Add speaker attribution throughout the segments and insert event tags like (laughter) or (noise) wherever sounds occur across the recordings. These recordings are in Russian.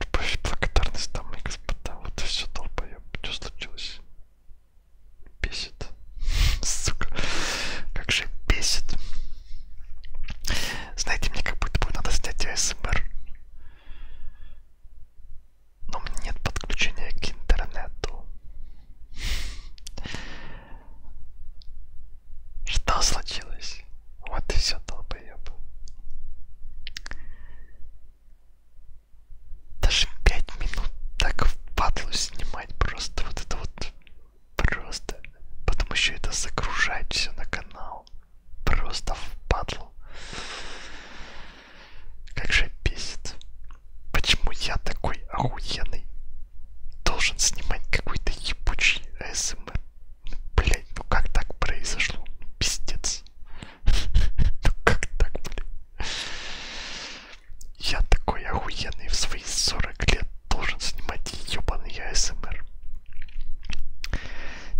Speaker 1: Любовь и благодарность, дамы и господа. Вот и все, долбоеб. Что случилось? Бесит. (laughs) Сука. Как же бесит. Знаете, мне как будто бы надо снять АСМР. Эм Но у меня нет подключения к интернету. Что случилось? Вот и все, долбоеб долбоеб. Даже пять минут так в падлу снимать просто вот это вот просто. Потом еще это загружать все на канал. Просто в падлу. Как же бесит. Почему я такой охуенный должен снимать какой-то ебучий АСМР? Блять, ну как так произошло? Пиздец. (laughs) Ну как так, блядь? Я такой охуенный в свои 40 лет должен снимать ебаный АСМР.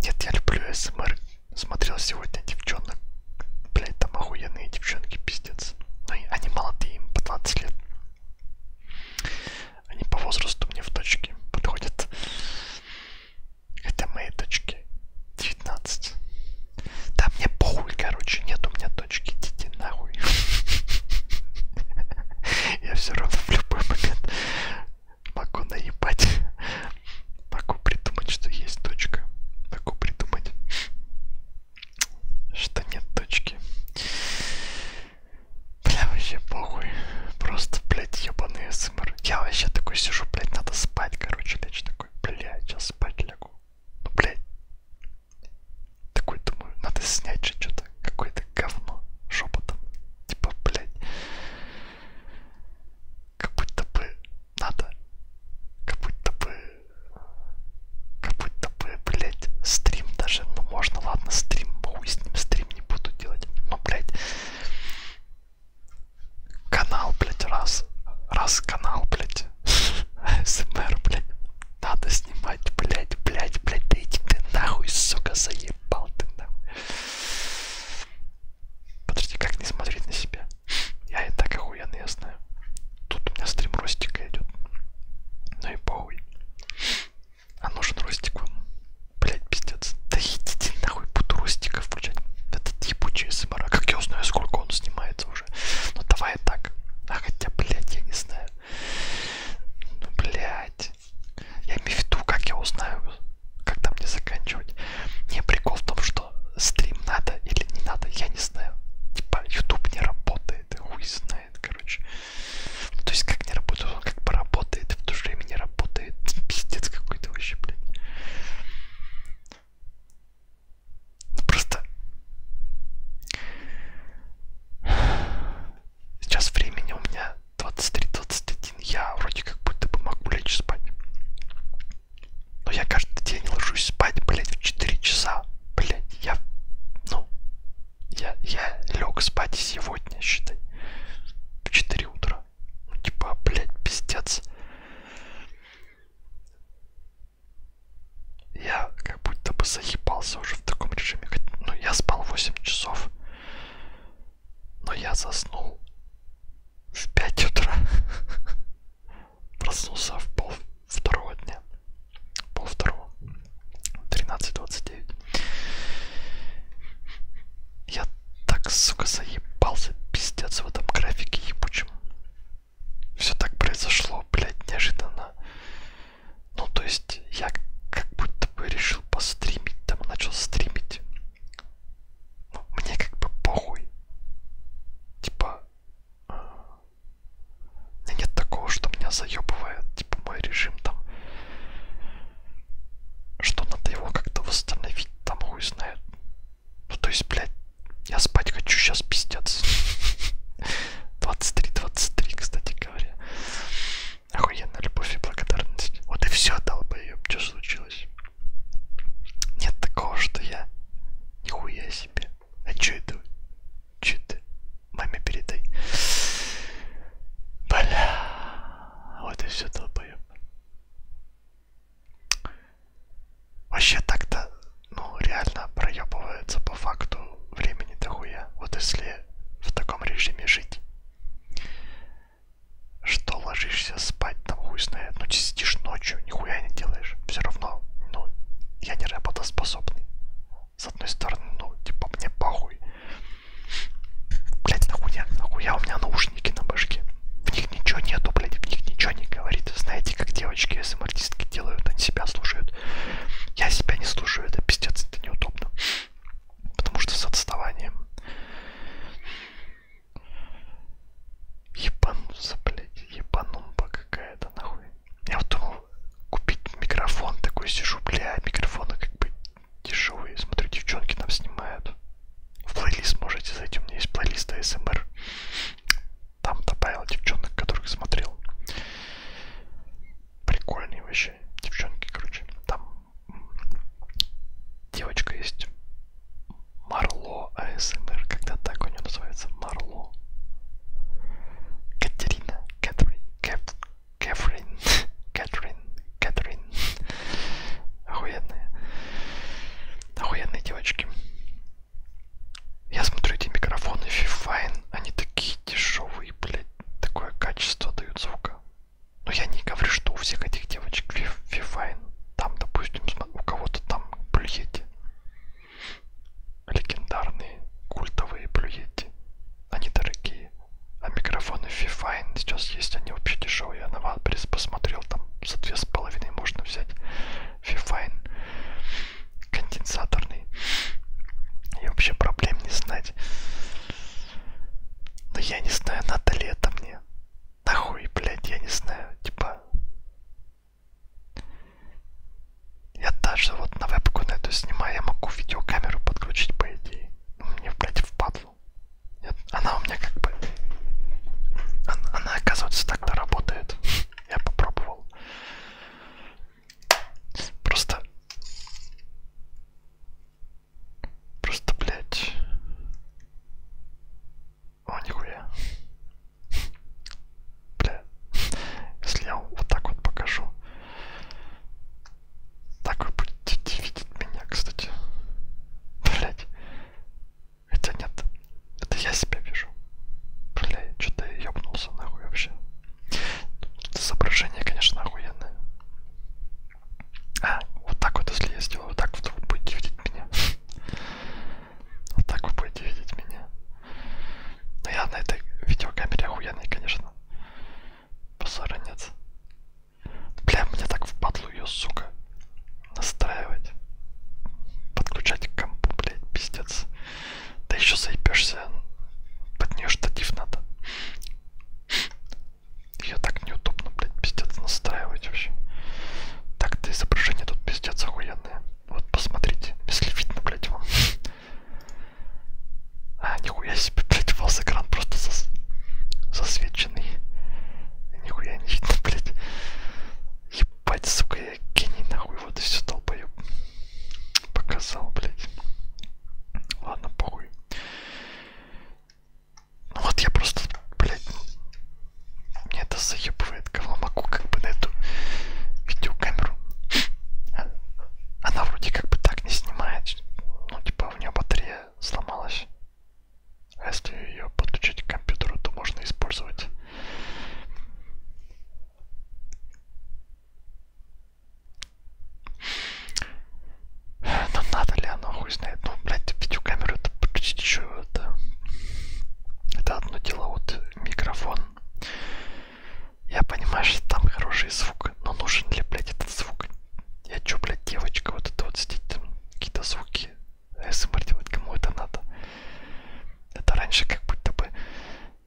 Speaker 1: Нет, я люблю АСМР. Смотрел сегодня девчонок. Блять, там охуенные девчонки, пиздец. Но ну, они молодые, им по 20 лет. Они по возрасту мне в точке подходят. Это мои точки 19. Да мне похуй, короче, нет у меня точки, идите нахуй. (laughs) Я все равно в любой момент могу наебать. Могу придумать, что есть точка. Могу придумать, что нет точки. Бля, вообще похуй. Просто, блядь, ебаный СМР. Я вообще такой сижу, блядь, надо спать, короче, лечь такой, блядь, сейчас спать лягу. Ну, блядь. Такой, думаю, надо снять же что-то, какое-то говно шепотом. Типа, блядь. Как будто бы надо. Как будто бы... Как будто бы, блядь, стрим даже, ну можно, ладно, стрим, хуй с ним, стрим не буду делать, но, блядь, Канал, блядь, раз. Раз канал, блядь. (laughs) СМР, блядь. Надо снимать, блядь, блядь, блядь. Да иди ты нахуй, сука, заебал ты нахуй. Подожди, как не смотреть на себя? Я и так охуенно я знаю. Тут у меня стрим ростика идет. Ну и похуй. А нужен ростик вам. Блять, пиздец. Да идите нахуй, буду ростика включать. Этот ебучий СМР. Эм а как я узнаю, сколько он снимается уже. Ну давай так. А хотя, блять, я не знаю. Ну, блять. Я имею в виду, как я узнаю, как там мне заканчивать. Не прикол в том, что стрим надо или не надо, я не знаю. Типа, YouTube не работает, хуй знает, короче. Ну, то есть, как не работает, он как поработает, и в то же время не работает. Пиздец какой-то вообще, блядь. Ну просто... Сейчас времени у меня 23-21. Я вроде как будто бы могу лечь спать. Но я каждый день ложусь спать, блядь, в 4 часа. Блядь, я... Ну... Я, я лег спать сегодня, считай. В 4 утра. Ну, типа, блядь, пиздец. Я как будто бы заебался уже в таком режиме. Ну, я спал 8 часов. Но я заснул в 5 утра. (laughs) Проснулся в пол второго дня. Пол второго. 13.29. Я так, сука, заебался, пиздец в этом графике ебучем. Все так произошло, блядь, неожиданно. Ну, то есть, я как будто бы решил постримить, там начал стримить. Ну, мне как бы похуй. Типа, э, нет такого, что меня заебывает, типа, мой режим там что надо его как-то восстановить, там хуй знает. Ну то есть, блядь, я спать хочу, сейчас пиздец. 23-23, (laughs) кстати говоря. Охуенная любовь и благодарность. Вот и все дал бы ее, что случилось. Нет такого, что я нихуя себе. А че это? Че это? Маме передай. Бля. Вот и все долбоеб. Вообще так-то, ну, реально проебывается по факту времени дохуя. Вот если в таком режиме жить, что ложишься спать, там хуй знает, ну, сидишь ночью, нихуя не делаешь. Все равно, ну, я не работоспособный. С одной стороны, ну, типа, мне похуй. Блять, нахуя, нахуя у меня наушники на башке. В них ничего нету, блять, в них ничего не говорит. Знаете, как девочки СМР-артистки эм делают, они себя слушают. Я себя не слушаю, это пиздец, это неудобно. Потому что с отставанием. Ебануться, блять, ебанумба какая-то, нахуй. Я вот думал купить микрофон, такой сижу, бля, микрофона как бы дешевые. Смотрю, девчонки там снимают. В плейлист можете зайти, у меня есть плейлист АСМР. Эм там добавил девчонок, которых смотрел. Прикольные вообще девчонки, короче. Там девочка есть. Марло АСМР, эм когда так у нее называется. Марло. Катерина, Кэтрин, Кэп, Кэфрин, Кэтрин, Кэтрин. Охуенные. Охуенные девочки. Я смотрю эти микрофоны Fifine, они такие дешевые, блядь, такое качество дают звука. Но я не говорю, что у всех этих девочек Fifine. Там, допустим, у кого-то там плюети. Легендарные, культовые плюети. Они дорогие и а микрофоны Fifine сейчас есть, они вообще дешевые. Я на Ватбрис посмотрел, там за две с половиной можно взять Fifine конденсаторный. И вообще проблем не знать. Но ну, я не знаю, надо ли это мне. Нахуй, блядь, я не знаю. Типа... Я даже вот на вебку на эту снимаю, я могу видеокамеру подключить, по идее. Но ну, мне, блядь, впадло сил. Она у меня как бы... Она, она оказывается, так-то работает. Я попробовал. Просто... Просто, блядь... О, нихуя. Бля, если я вот так вот покажу, так вы будете видеть меня, кстати. Блять. Хотя нет, это я себя вижу. Бля, что-то я ёбнулся нахуй вообще. Изображение, конечно, охуенное. А, вот так вот, если я сделаю, вот так вот вы будете видеть меня. (laughs) Вот так вы будете видеть меня. Но ну, я на этой видеокамере охуенный, конечно. Позора нет. Бля, мне так впадло ее, сука, настраивать. Подключать к компу, блядь, пиздец. Да еще заебешься. Под нее штатив надо. Ее так неудобно, блядь, пиздец, настраивать вообще. Так-то изображение тут пиздец охуенное. Вот посмотрите, если видно, блядь, вам. (laughs) А, нихуя. Нихуя себе, блядь, у вас экран просто зас... засвеченный. Нихуя не видно, блядь. Ебать, сука, я гений, нахуй, вот и все долбоеб. Показал, блядь. Ладно, похуй. Ну вот я просто, блядь, мне это заебывает говномаку как бы на эту видеокамеру. А, она вроде как бы так не снимает. Ну типа у нее батарея сломалась. А если ее подключить к компьютеру, то можно использовать. Но надо ли оно, хуй знает. Ну, блядь, видеокамеру это подключить еще это. Это одно дело, вот микрофон. Я понимаю, что там хороший звук, но нужен ли, блядь, этот звук? Я чё, блядь, девочка, вот это вот сидеть там, какие-то звуки СМР делать, кому это надо? Это раньше как будто бы,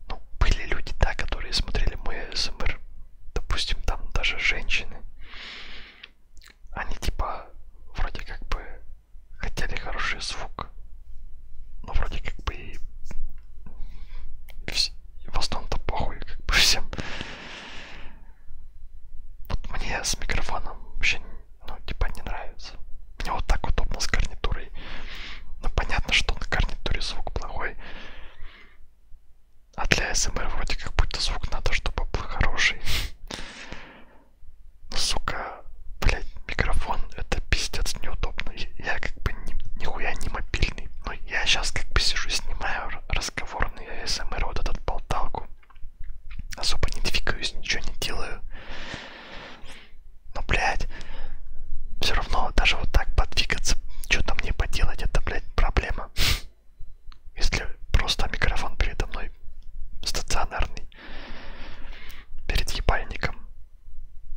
Speaker 1: ну, были люди, да, которые смотрели мой СМР, допустим, там даже женщины. Они типа вроде как бы хотели хороший звук, но вроде как бы и в основном-то похуй как бы всем. Вот мне с микрофоном вообще, ну, типа, не нравится. Мне вот так удобно с гарнитурой. Ну, понятно, что на гарнитуре звук плохой. А для СМР вроде как будто звук надо, чтобы был хороший. Ну, сука, блядь, микрофон это пиздец неудобно. Я, я как бы ни, нихуя не мобильный. Но я сейчас как бы сижу, снимаю разговор спокойно, я СМР вот этот болталку. Особо не двигаюсь, ничего не делаю. Но, блядь, все равно даже вот так подвигаться, что-то мне поделать, это, блядь, проблема. (laughs) Если просто микрофон передо мной стационарный, перед ебальником,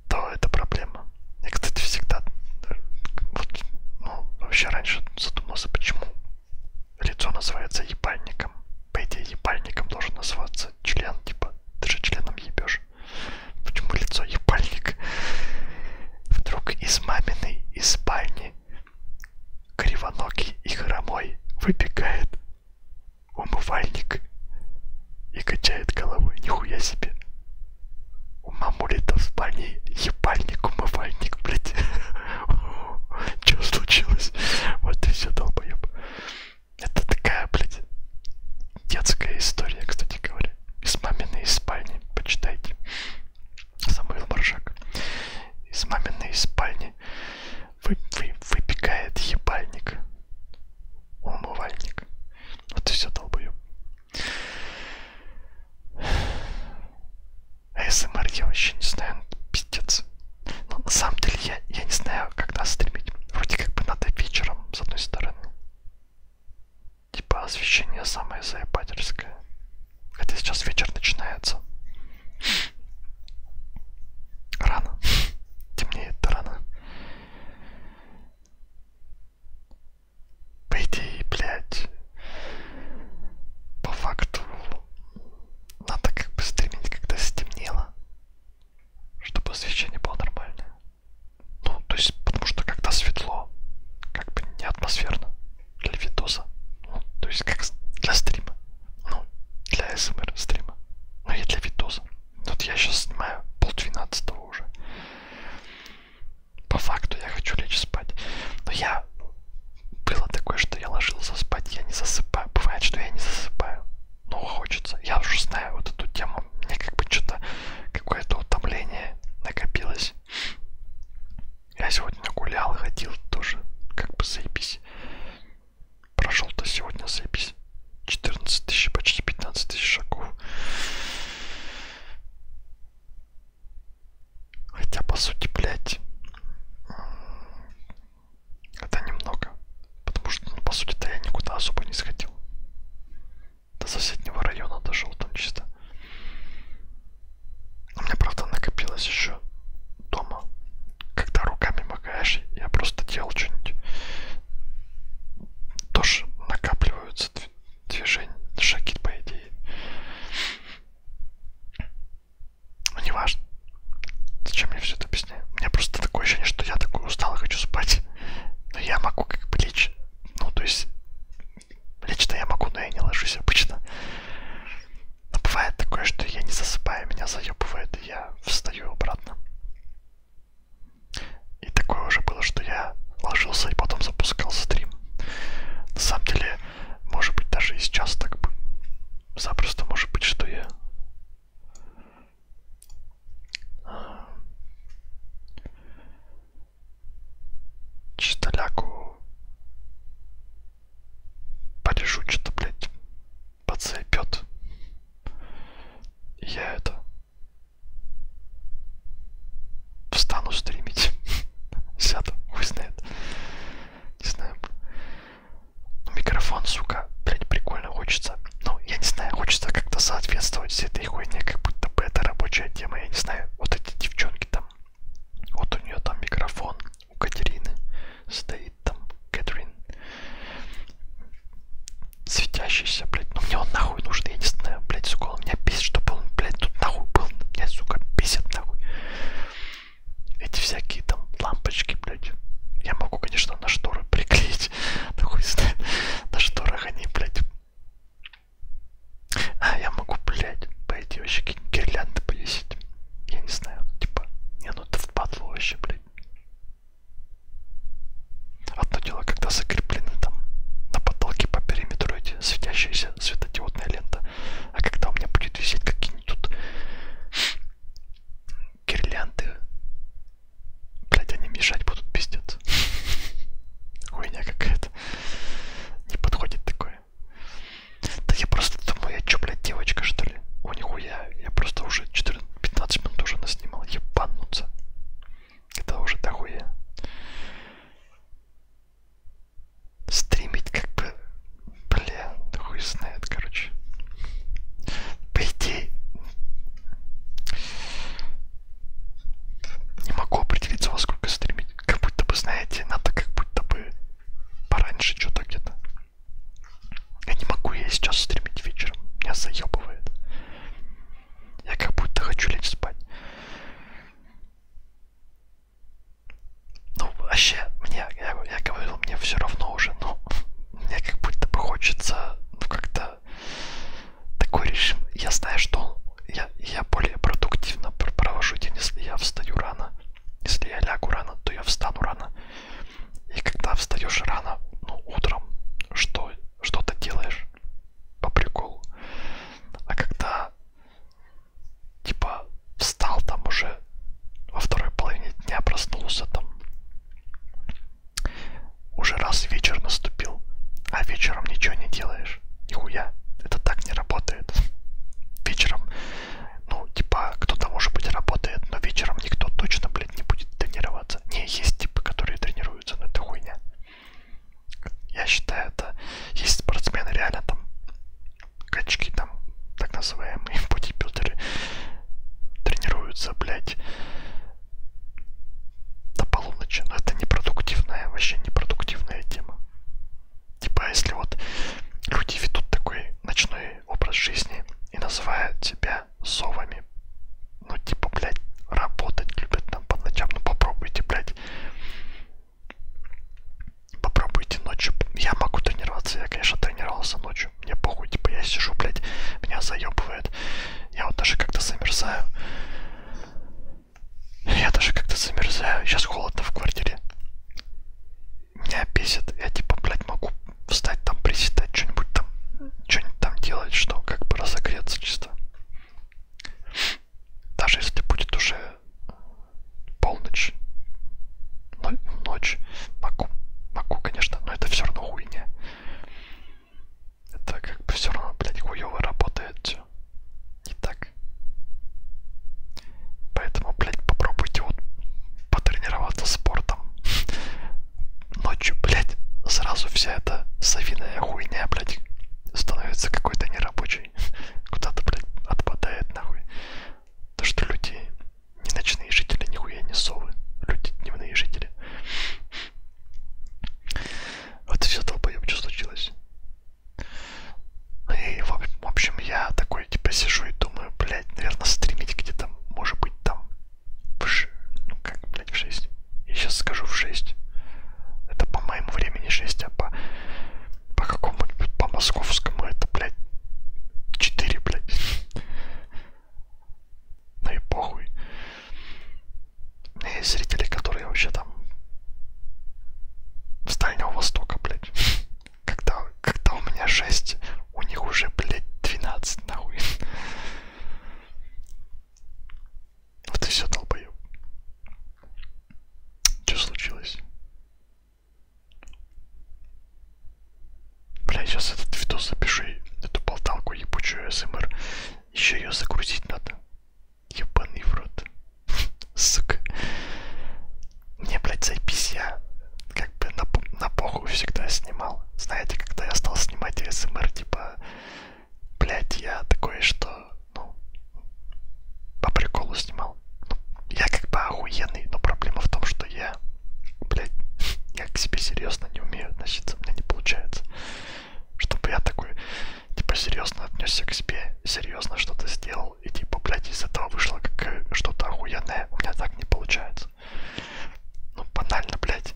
Speaker 1: то это проблема. Я, кстати, всегда, э, вот, ну, вообще раньше задумался, почему лицо называется ебальником. По идее, ебальником должен называться член, типа, ты же членом ебешь. Почему лицо ебальник? Вдруг из маминой, из спальни, кривоногий и хромой, выбегает умывальник и качает головой, нихуя себе. У мамули-то в спальне ебальник, умывальник, блядь. (laughs) (laughs) Что случилось? Вот ты все долбоеб. Это такая, блядь, детская история, кстати говоря. Из маминой спальни. Почитайте. Самуил Маржак. Из маминой спальни вы, вы, выпекает ебальник. Умывальник. Вот и все долбоеб. АСМР я вообще не знаю, ну, пиздец. Но ну, на самом деле я, я не знаю, когда стримить. Вроде как бы надо вечером, с одной стороны. Типа освещение самое заебательское. Хотя сейчас вечер начинается. Рано. Темнеет-то рано по идее, блядь, по факту надо как бы стримить, когда стемнело, чтобы освещение было нормальное. Ну, то есть, потому что когда светло, как бы не атмосферно для видоса, ну, то есть как для стрима, ну, для СМР стрима, ну и для видоса. Вот я сейчас снимаю полдвенадцатого уже. По факту я хочу лечь спать. Но я... Было такое, что я ложился спать, я не засыпаю. Бывает, что я не засыпаю. Но хочется. Я уже знаю вот эту тему. Мне как бы что-то... Какое-то утомление накопилось. Я сегодня гулял, ходил тоже. Как бы заебись. Прошел-то сегодня заебись. 14 тысяч, почти 15 тысяч шагов. Хотя, по сути, блядь, это немного. Потому что, ну, по сути-то я никуда особо не сходил. До соседнего района дошел там чисто. У меня, правда, накопилось еще дома. Когда руками макаешь, я просто делал что-нибудь. Тоже накапливаются движения, шаги, по идее. Ну, не важно. Зачем я все это объясняю? У меня просто такое ощущение, что я такой устал и хочу спать. Но я могу как бы лечь. Ну, то есть, лечь-то я могу, но я не ложусь обычно. Но бывает такое, что я не засыпаю, меня заебывает, и я встаю обратно. И такое уже было, что я ложился и потом запускал стрим. На самом деле, может быть, даже и сейчас так бы. Запросто может быть, что я... Чистоляку порежу что-то, блядь, подцепет. Я это встану стримить. (laughs) сяду, хуй знает. Не знаю. Ну, микрофон, сука, блядь, прикольно хочется. Ну, я не знаю, хочется как-то соответствовать всей этой хуйне, как будто бы это рабочая тема. Я не знаю, вот эти девчонки там. Вот у нее там микрофон, у Катерины стоит там Кэтрин. Светящийся, блядь. Ну мне он нахуй нужен, я не знаю, блядь, сука, он меня бесит, чтобы он, блядь, тут нахуй был. Меня, сука, бесит нахуй эти всякие там лампочки, блядь. Я могу, конечно, на шторы приклеить. (laughs) Да хуй знает. На шторах они, блядь. А, я могу, блядь, пойти вообще какие-нибудь гирлянды повесить. Я не знаю, типа, не, ну это впадло вообще, блядь. Одно дело, когда закреплены там на потолке по периметру эти светящиеся вовсе светодиодная лента. А когда у меня будет висеть какие-нибудь тут гирлянды, блядь, они мешать будут, пиздец. Хуйня какая-то. Не подходит такое. Да я просто думаю, я чё, блядь, девочка, что ли? О, нихуя, я просто уже 14-15 минут уже наснимал, ебануться. Это уже дохуя стримить как бы, бля, хуй знает, короче. По идее, не могу определиться, во сколько стримить. Как будто бы, знаете, надо как будто бы пораньше что-то где-то. Я не могу я сейчас стримить вечером, меня заебывает. Я как будто хочу лечь спать. Ну, вообще, мне, я, я говорил, мне все равно уже, но (laughs) мне как будто бы хочется, ну, как-то такой режим. Я знаю, что я, я более продуктивно провожу день, если я встаю рано. Если я лягу рано, то я встану рано. И когда встаешь рано, ну, утром, что что-то делаешь по приколу. А когда типа встал там уже во второй половине дня, проснулся там. Уже раз вечер наступил, а вечером ничего не делаешь. Нихуя, это так не работает. Вечером, ну, типа, кто-то, может быть, работает, но вечером никто точно, блядь, не будет тренироваться. Не, есть типы, которые тренируются, но это хуйня. Я считаю, это есть спортсмены реально там качки там, так называемые (laughs) бодибилдеры, тренируются, блядь, до полуночи. Но это непродуктивная, вообще непродуктивная тема. Типа, если вот люди ведут такой ночной образ жизни и называют себя совами, ну, типа, блядь, работать любят там по ночам, ну попробуйте, блядь, Попробуйте ночью. Я могу тренироваться, я, конечно, тренировался ночью. Мне похуй, типа я сижу, блядь, меня заебывает. Я вот даже как-то замерзаю. Я даже как-то замерзаю. Сейчас холодно в квартире. Меня бесит. Я типа, блядь, могу встать там, приседать, что-нибудь там, что-нибудь там делать, что как бы разогреться чисто даже если будет уже полночь, ночь, могу, могу, конечно, но это все равно хуйня. Это как бы все равно, блядь, хуево работает все. Не так. Поэтому, блядь, попробуйте вот потренироваться спортом. (laughs) Ночью, блядь, сразу вся эта совиная хуйня, блядь, становится какой-то нерабочей нахуй. (laughs) Куда-то, блядь, отпадает нахуй. То, что люди не ночные жители, нихуя не совы. Люди дневные жители. Вот и все долбоеб, что случилось. Ну и в общем я такой типа сижу и думаю, блядь, наверное, стримить где-то, может быть, там в ш... ну как, блядь, в 6. Я сейчас скажу в 6. Это по моему времени 6, а по по какому-нибудь, по московскому, это, блядь, 4, блядь. Ну и похуй. Есть зрители, которые вообще там с Дальнего Востока, блядь. Когда, когда у меня 6, у них уже, блядь, 12, нахуй. Вот и все, долбоеб. Что случилось? Бля, сейчас этот видос запиши, эту болталку ебучую СМР. Еще ее загрузить надо. Ебаный в рот. (laughs) Сука. Мне, блядь, запись я как бы на, на похуй всегда снимал. Знаете, когда я стал снимать СМР, типа, блядь, я такой, что ну, по приколу снимал. Ну, я как бы охуенный, но проблема в том, что я, блядь, я к себе серьезно не умею относиться, у меня не получается. Чтобы я такой, типа, серьезно отнесся к себе, серьезно что-то сделал, и типа, блядь, из этого вышло как э, что-то охуенное, у меня так не получается. Ну, банально, блядь.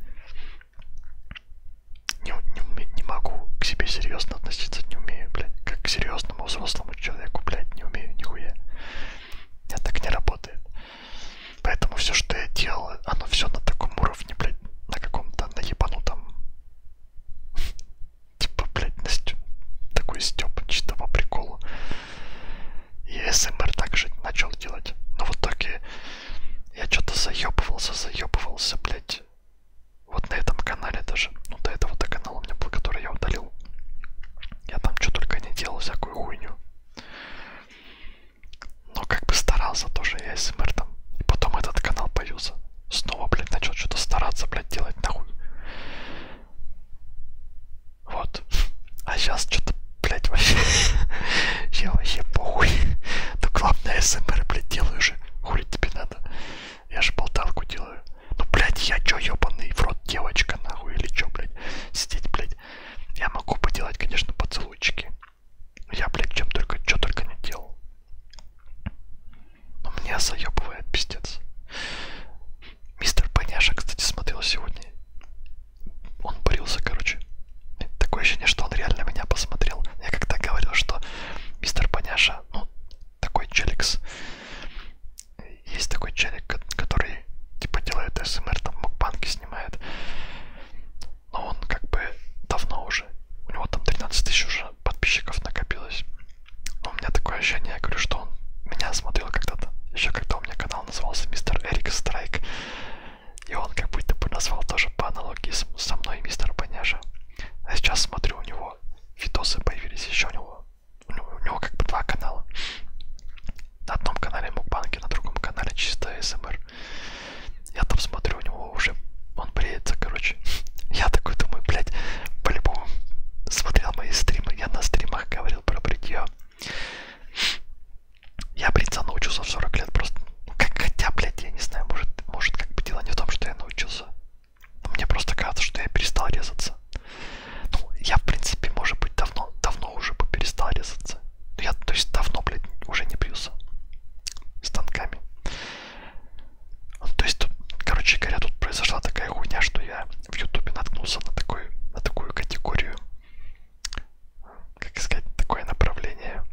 Speaker 1: Не, не, не могу к себе серьезно относиться, не умею, блядь, как к серьезному взрослому этому человеку, блядь, не умею нихуя. Я так не работает. Поэтому все, что я делал, оно все на таком уровне, блядь, на каком-то наебанутом. (laughs) Типа, блядь, на стё... такой стёб, чисто по приколу. И СМР также начал делать. Но в итоге я что-то заебывался, заебывался, блядь. Вот на этом канале даже, ну до этого-то канала у меня был, который я удалил. Я там что только не делал, всякую хуйню. Но как бы старался тоже я СМР там. И потом этот канал появился. Снова, блядь, начал что-то стараться, блядь, делать нахуй. Вот. А сейчас что-то, блядь, вообще... (laughs) Я вообще похуй. Ну главное СМР, блядь, делаю же. Хули тебе надо. Я же болталку делаю. Ну, блядь, я чё, ёбаный в рот девочка, нахуй, или чё, блядь, сидеть, блядь. Я могу поделать, конечно, поцелуйчики. Я, блядь, чем только, чё только не делал. Но меня заебывает пиздец. Мистер Поняша, кстати, смотрел сегодня. Он борился, короче. Такое ощущение, что он реально меня посмотрел. Я как-то говорил, что мистер Поняша, ну, такой челикс, есть такой челик, который типа делает СМР, там мукбанки снимает. Но он как бы давно уже. У него там 13 тысяч уже подписчиков накопилось. Но у меня такое ощущение, я говорю, что он меня смотрел когда-то. Еще когда у меня канал назывался Мистер Эрик Страйк. И он как будто бы назвал тоже по аналогии со мной мистер Баняжа. А сейчас смотрю, у него видосы появились, еще у него у него, у него как бы два канала. На одном канале мукбанки, на другом канале чисто СМР. Я там смотрю, у него уже он бреется, короче. (laughs) Я такой думаю, блядь, по-любому смотрел мои стримы. Я на стримах говорил про бритье. Я бриться научился в 40 лет просто. Ну как хотя, блядь, я не знаю, может, может как бы дело не в том, что я научился мне просто кажется, что я перестал резаться. Ну, я, в принципе, может быть, давно, давно уже бы перестал резаться. Ну, я, то есть, давно, блядь, уже не бьюсь станками. Ну, то есть, тут, короче говоря, тут произошла такая хуйня, что я в ютубе наткнулся на, такой, на такую категорию, как сказать, такое направление,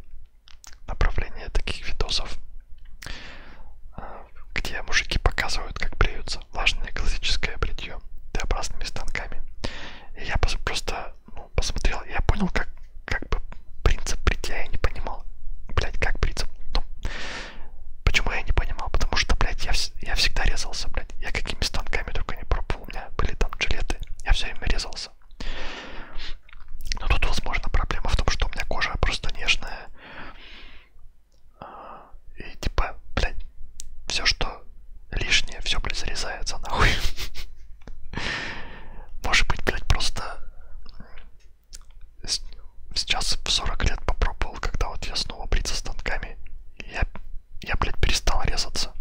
Speaker 1: направление таких видосов, а, где мужики показывают, как бреются. Влажное классическое бритье Т-образными станками. И я просто ну, посмотрел, я понял, как, как бы принцип бритья я не понимал. Блять, как принцип? Ну, почему я не понимал? Потому что, блядь, я, я всегда резался, блядь. Я какими станками только не пробовал. У меня были там жилеты. Я все время резался. Но тут, возможно, проблема в том, что у меня кожа просто нежная. И типа, блядь, все, что лишнее, все, блядь, зарезается нахуй. (laughs) Может быть, блядь, просто сейчас в 40 лет попробовал, когда вот я снова бриться станками, я, я, блядь, перестал резаться.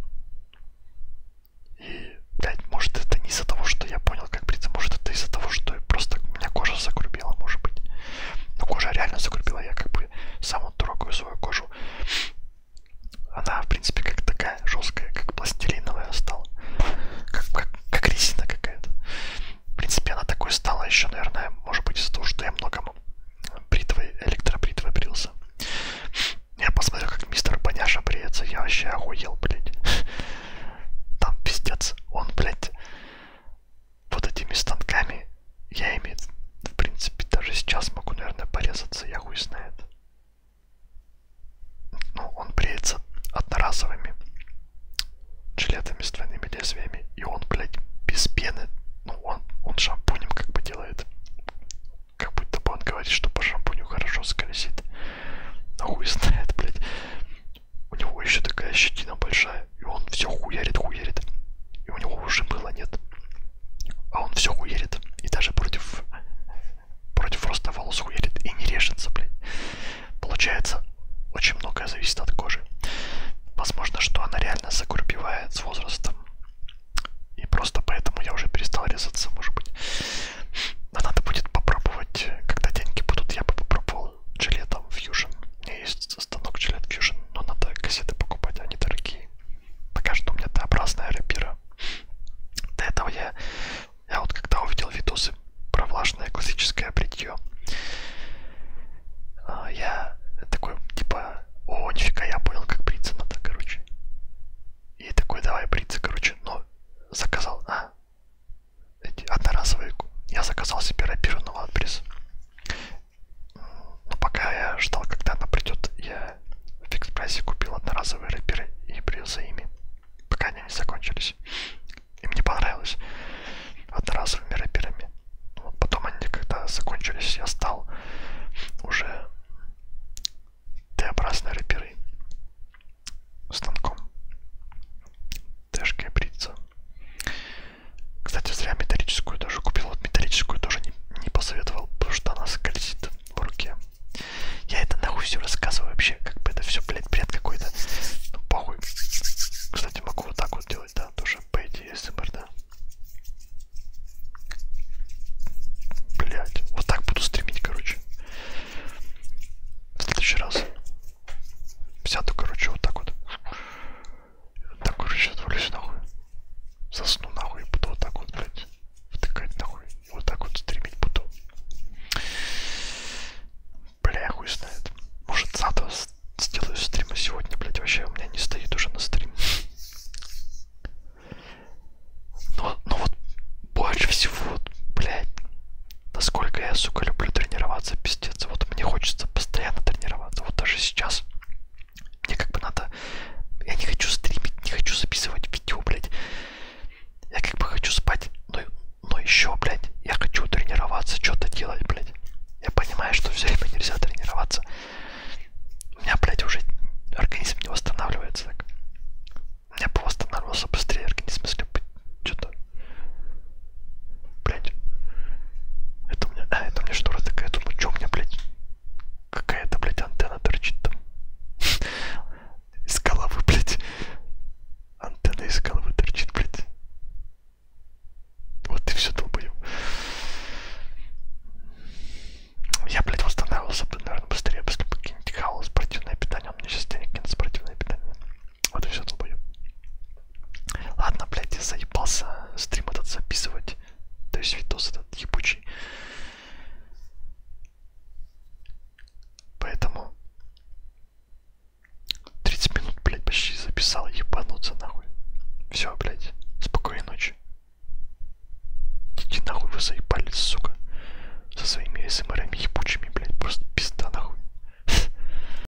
Speaker 1: И, блядь, может это не из-за того, что я понял, как бриться, может это из-за того, что просто меня кожа закрубила, может быть. Но кожа реально загрубила, я как бы сам вот трогаю свою кожу. Она, в принципе, как такая жесткая, как пластилиновая стала. Как, как, как резина какая-то. В принципе, она такой стала еще, наверное, может быть, из-за того, что я многому бритвой, электробритвой брился. Я посмотрел, как мистер Поняша бреется, я вообще охуел, блядь. Там пиздец. Он, блядь, вот этими станками, я ими, в принципе, даже сейчас могу, наверное, порезаться, я хуй знает. Ну, он бреется одноразовыми жилетами с двойными лезвиями, и он, блядь, без пены, ну, он, он шампунем как бы делает. Как будто бы он говорит, что по шампуню хорошо скользит. Но а хуй знает, блядь. У него еще такая щетина большая, и он все хуярит, хуярит. И у него уже было нет. А он все хуярит. И даже против против роста волос хуярит. И не режется, блядь. Получается, очень многое зависит от кожи. Возможно, что она реально загурбевает с возрастом. И просто поэтому я уже перестал резаться, может быть. Но надо будет попробовать, когда деньги будут, я бы попробовал работал жилетом Fusion. У меня есть станок жилет Fusion, но надо кассеты покупать, они дорогие. Пока что у меня Т-образная рапира. До этого я, я вот когда увидел видосы про влажное классическое бритье, а, я такой, типа, о, нифига, я понял, как бриться надо, короче. И такой, давай бриться, короче, но заказал, а, эти одноразовые. Я заказал себе рапированного адрес. Но пока я ждал, когда она придет, я в фикс прайсе купил одноразовые рапиры и брил за ими, пока они не закончились. И мне понравилось одноразовыми рапирами. Вот потом они когда закончились, я стал уже Т-образной рапирой станком. Тэшкой бриться. Кстати, зря металлическую даже купил. Вот металлическую тоже не, не посоветовал, потому что она скользит в руке. Я это нахуй все рассказываю вообще, как бы это все, блядь, бред какой-то. Ну, похуй. Кстати, могу вот так вот делать, да, тоже, по идее, СМР, да. Блять, вот так буду стримить, короче. В следующий раз. Сяду, короче, вот так вот. Так, короче, отвалюсь нахуй. Засну нахуй, буду вот так вот, блядь, втыкать нахуй. И вот так вот стримить буду. Бля, хуй знает. Может, завтра сделаю стрима сегодня, блядь, вообще у меня не стоит уже на стрим. Но, но вот больше всего, блядь, насколько я, сука, люблю тренироваться, пиздец молодец. Вот мне хочется постоянно тренироваться. Вот даже сейчас мне как бы надо... Я не хочу стримить, не хочу записывать видео, блядь. Я как бы хочу спать, но, но еще, блядь, я хочу тренироваться, что-то делать, блядь. Я понимаю, что все время нельзя тренироваться. У меня, блядь, уже организм не восстанавливается так. У меня бы восстанавливался быстрее организм, если бы что-то Блять. Это у меня... А, это у меня штора такая. Я думаю, что ну, у меня, блядь, какая-то, блядь, антенна торчит там. (laughs) Из головы, блядь. Антенна из головы торчит, блядь. Вот и все долбоем. Я, блядь, восстанавливался бы, наверное, быстрее, если бы какие-нибудь хаос, спортивное питание. У меня сейчас денег нет, спортивное питание. Вот и все, долбоеб. Ладно, блядь, я заебался стрим этот записывать. То есть видос этот ебучий. Поэтому 30 минут, блядь, почти записал, ебануться нахуй. Все, блядь, спокойной ночи. Идите нахуй, вы заебались, сука. Со своими СМРами эм ебучими, блядь, просто пизда нахуй.